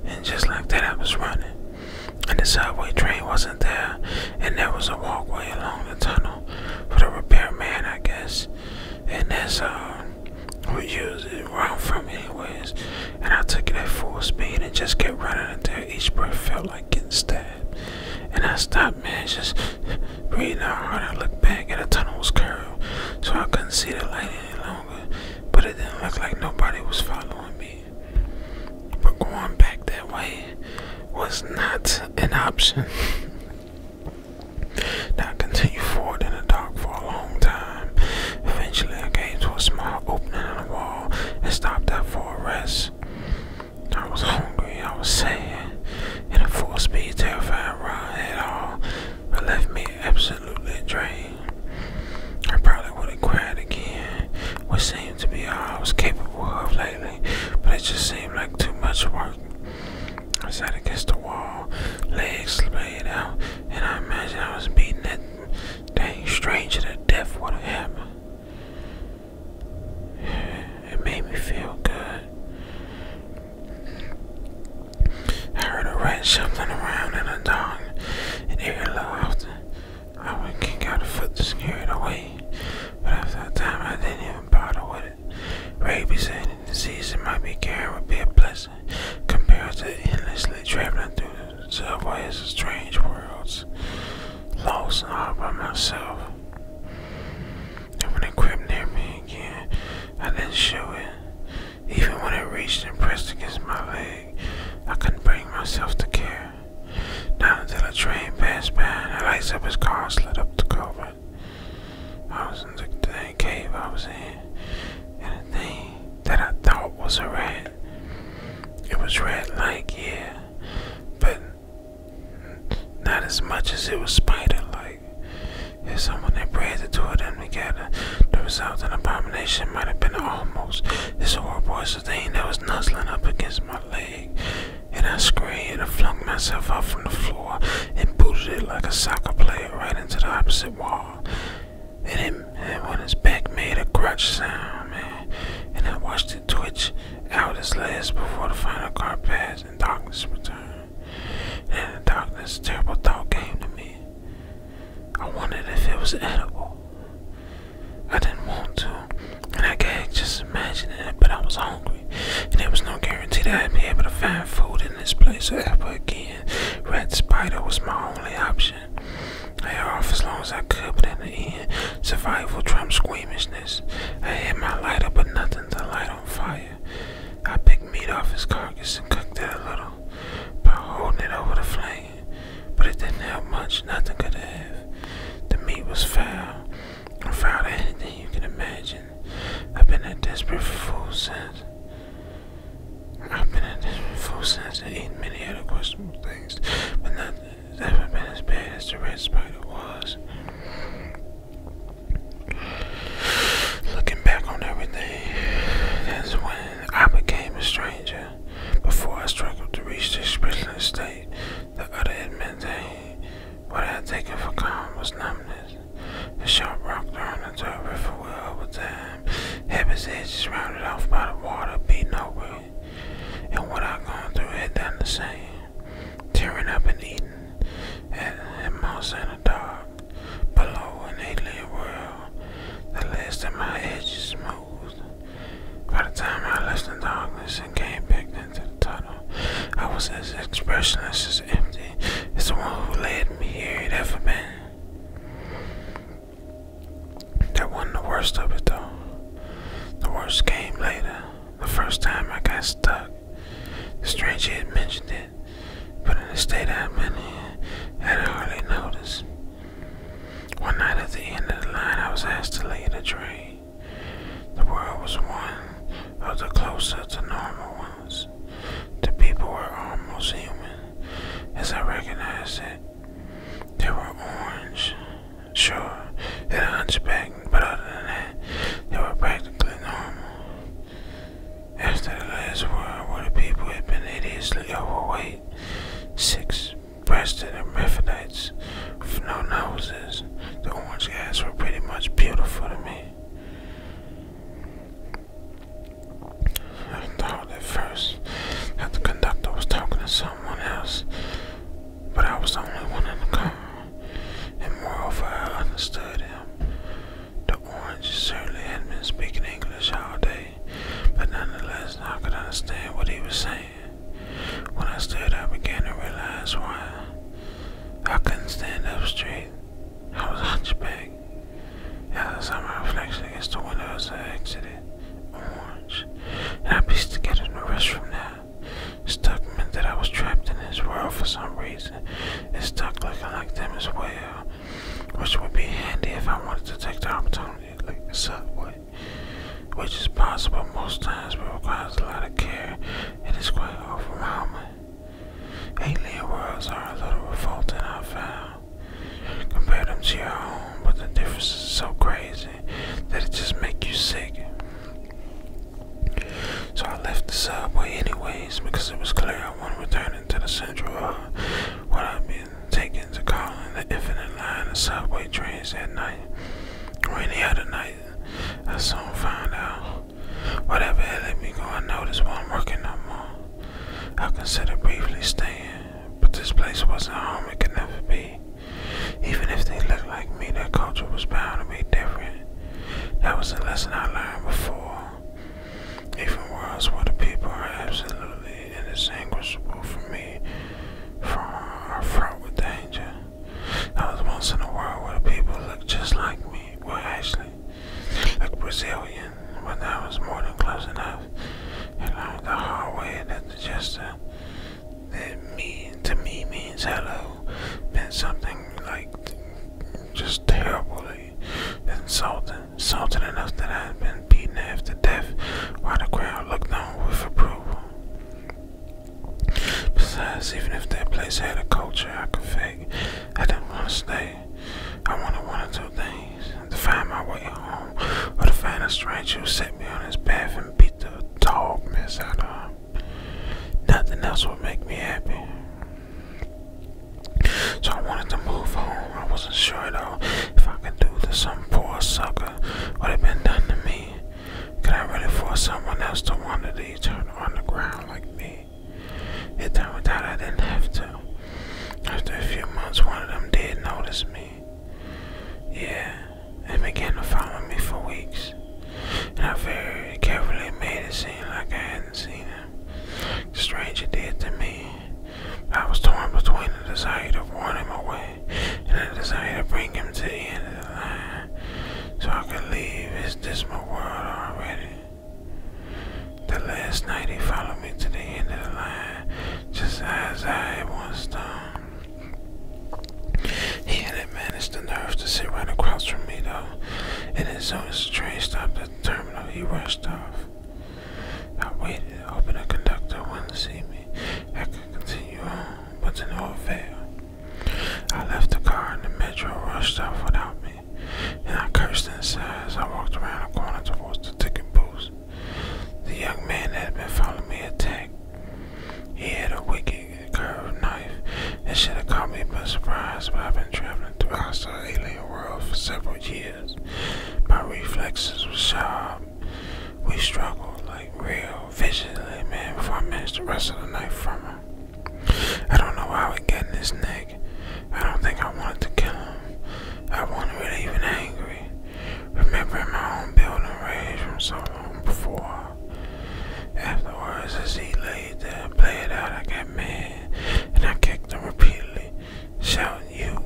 and just like that, I was running. And the subway train wasn't there, and there was a walkway along the tunnel for the repairman, I guess. And that's uh, we used it where I'm from, anyways. And I took it at full speed and just kept running until each breath felt like getting stabbed. And I stopped, man, just breathing hard. I looked back and the tunnel was curved, so I couldn't see the light any longer. But it didn't look like nobody was following me. But going back that way was not an option. now I continued forward in the dark for a long time. Eventually, I came to a small opening in the wall and stopped there for a rest. I was hungry, I was sad, and a full speed terrifying ride at all but left me absolutely drained. I probably would have cried again, which seemed to be all I was capable of lately, but it just seemed like too much work. I sat against the wall, legs laid out, and I imagined I was beating that dang stranger to death with a hammer. It made me feel good. I heard a rat shuffling around in a dog, and they laughed. I would kick out a foot to scare it away, but after that time I didn't even bother with it. Rabies and the disease it might be carrying would be a blessing compared to endlessly traveling through the subways of strange worlds lost all by myself. And when it near me again, I didn't show it. Even when it reached and pressed against my leg, I couldn't bring myself to care. Not until a train passed by and lights up its car slid up the cover. I was in the dang cave I was in, and a thing that I thought was a rat. It was red like, yeah, but not as much as it was spider like. If someone had prayed the two of them together, the result of the abomination might have been almost This horrible as the thing that was nuzzling up against my leg. And I screamed and flung myself up from the floor and booted it like a soccer player right into the opposite wall. And, it, when its back made a crunch sound, and I watched it twitch out his legs before the final car passed and darkness returned. And in the darkness, a terrible thought came to me. I wondered if it was edible. I didn't want to, and I gagged just imagining it, but I was hungry, and there was no guarantee that I'd be able to find food in this place ever again. Rat Spider was my only option. I held off as long as I could, but in the end, survival trumped squeamishness. I hit my lighter, but nothing to light on fire. I picked meat off his carcass and cooked it a little by holding it over the flame, but it didn't help much. Nothing could have. The meat was foul, and foul to anything you can imagine. I've been a desperate fool since. I've been a desperate fool since and eaten many other questionable things, but nothing. It's never been as bad as the red spider was. Looking back on everything, that's when I became a stranger. Before I struggled to reach this prisoner state, the other admin thing, what I had taken for calm was numbness. The sharp rock thrown into a river well over time, heaven's edges rounded off by the water, beaten over and what I've gone through it done the same. Tearing up and eating and at mouse and a dog below an alien world. The last of my edges smoothed. By the time I left the darkness and came back into the tunnel, I was as expressionless as empty as the one who led me here had ever been. That wasn't the worst of it though. The worst came later. The first time I got stuck, the stranger had mentioned it, but in the state I've been in, I'd hardly noticed. One night at the end of the line, I was asked to lay the train. The world was one of the closer to normal ones. The people were almost human, as I recognized it. They were orange, Sure, they were hunchbacked, but other than that, they were practically normal. After the last war, where the people had been hideously overweight, six-breasted hermaphrodites with no noses, the orange guys were pretty much beautiful to me. I thought at first that the conductor was talking to someone else, but I was the only one in the car, and moreover, I understood him. The orange certainly had not been speaking English all day, but nonetheless, I could understand what he was saying. When I stood, I began to realize why I couldn't stand up straight. I was hunchback. As I saw my reflection against the window as I exited, orange, and I pieced together the rest from that. Stuck meant that I was trapped in his world for some reason. It stuck looking like them as well. Which would be handy if I wanted to take the opportunity to like the subway. Which is possible most times but requires a lot of care and is quite overwhelming. Alien worlds are a little revolting I found. Compare them to your own, but the difference is so crazy that it just make you sick. So I left the subway anyways because it was clear I wasn't return to the central hub uh, when i have been taking to calling the infinite line of subway trains that night Rainy any other night. I soon found out. Whatever had let me go unnoticed while I'm working no more. I considered briefly staying, but this place wasn't home, it could never be. Even if they looked like me, their culture was bound to be different. That was a lesson I learned before. Even worlds where the people are absolutely indistinguishable from me from are fraught with danger. I was once in a world where the people looked just like me. Well, actually, like Brazilian, but that was more than close enough. I learned the hard way that the gesture that mean to me means hello. Meant something like just terribly insulting, insulting enough that I have been beaten after death while the crowd looked on with approval. Besides, even if that place had a culture I could fake, I do not want to stay. I wanna one or two things to find my way home or to find a stranger who set me on his path and beat the dog mess out of him. Nothing else would make me happy. So I wanted to move home. I wasn't sure though if I could do to some poor sucker what had been done to me. Could I really force someone else to wander the eternal underground like me? It turned out I didn't have to. After a few months, one of them did notice me. Yeah, they began to follow me for weeks, and I very carefully made it seem like I hadn't seen him. stranger did to me. I was torn between the desire to warn him away and the desire to bring him to the end of the line so I could leave this dismal world already. The last night he followed me to the end of the line just as I was done. He had managed the nerve to sit right across from me, though, and his own as the train stopped the terminal, he rushed off. I waited, hoping the conductor wouldn't see me. I could continue on, but to no avail. I left the car, and the metro rushed off without me, and I cursed inside as I walked around the corner towards the ticket booth. The young man that had been following me attacked. He had a wicked big curved knife. It should have caught me by surprise, but I've been traveling through hostile alien world for several years. My reflexes were sharp. We struggled like real viciously, man, before I managed to wrestle the knife from him. I don't know why it got in this neck. I don't think I wanted to kill him. I wasn't really even angry. Remembering my own building rage from so long before. Afterwards, as he laid there and played out, I got mad and I kicked him repeatedly, shouting, You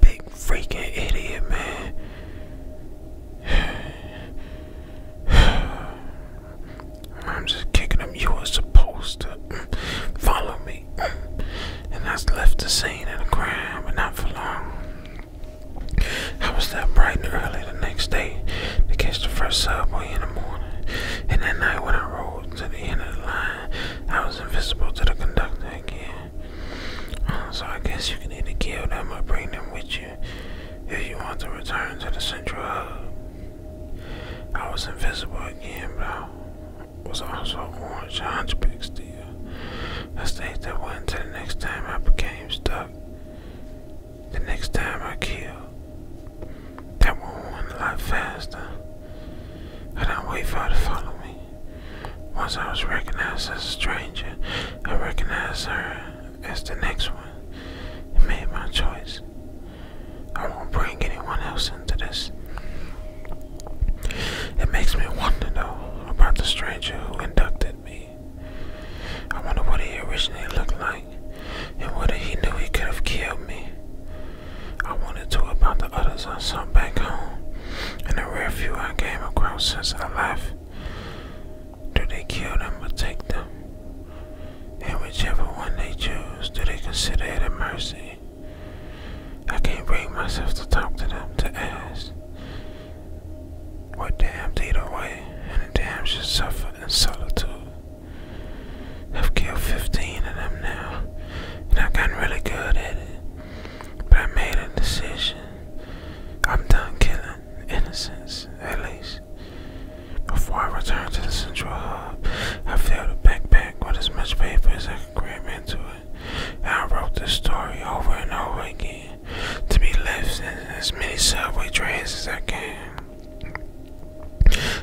big freaking idiot, man. I'm just kicking him. You were supposed to follow me. And I left the scene of the crime, but not for long. I was up bright and early the next day to catch the first subway in the morning, and that night when I rode to the end of the line, I was invisible to the conductor again. Uh, so I guess you can either kill them or bring them with you if you want to return to the central hub. I was invisible again, but I was also orange hunchback still. I stayed that way until the next time I became stuck the next time I kill, that one went a lot faster. I don't wait for her to follow me. Once I was recognized as a stranger, I recognized her as the next one I made my choice. I won't bring anyone else into this. It makes me wonder though about the stranger who inducted me. I wonder what he originally looked like and whether he knew he could have killed me. I wondered too about the others I saw back home and the rare few I came across since I left. Do they kill them or take them? And whichever one they choose, do they consider it a mercy? I can't bring myself to talk to them, to ask. What damn lead away, and the damn suffer in solitude. I've killed 15 of them now, and I've really good at it. But I made a decision. I'm done killing innocents, at least. Before I return to the central hub, I filled a backpack with as much paper as I could cram into it, and I wrote this story over and over again to be left in as many subway trains as I can.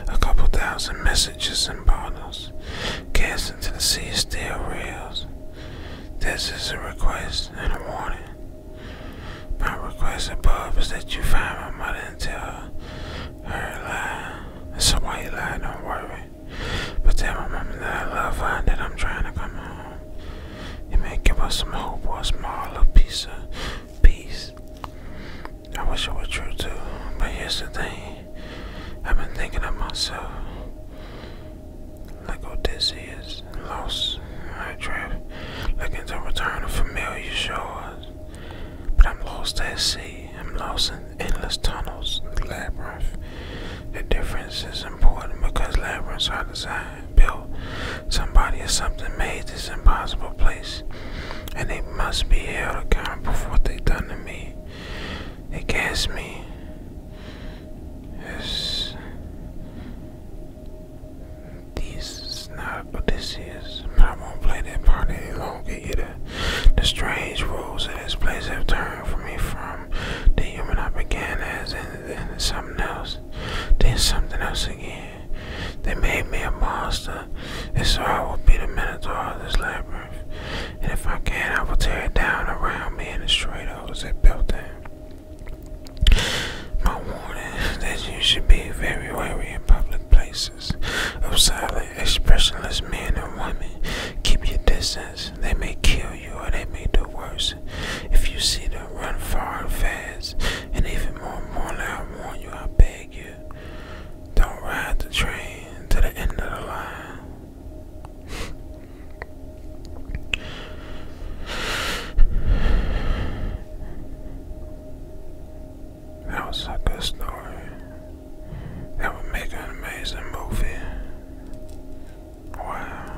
A couple thousand messages and bottles cast into the sea of steel rails. This is a request and a warning. My request above is that you find my mother and tell her, her lie. So why you lying? don't worry. But tell my mother that I love her and that I'm trying to come home. It may give us some hope or a smaller piece of peace. I wish it was true too, but yesterday, I've been thinking of myself. Like Odysseus, lost in looking to return to familiar shores. But I'm lost at sea, I'm lost in endless tunnels, the labyrinth. The difference is important because labyrinths are designed built. Somebody or something made this impossible place, and they must be held accountable for what they have done to me. They cast me as this is not Odysseus, but I won't play that part any longer either. The strange rules of this place have turned for me from the human I began as then something else, then something else again. They made me a monster, and so I will be the minotaur of this labyrinth. And if I can, I will tear it down around me and destroy those that built it. My warning that you should be very wary in public places of silent, expressionless men and women. Keep your distance. They may kill you or they may do worse. If you see them, run far and fast and even more importantly, I warn you, I beg you, don't ride the train to the end of the line. That was a good story. That would make an amazing movie. Wow.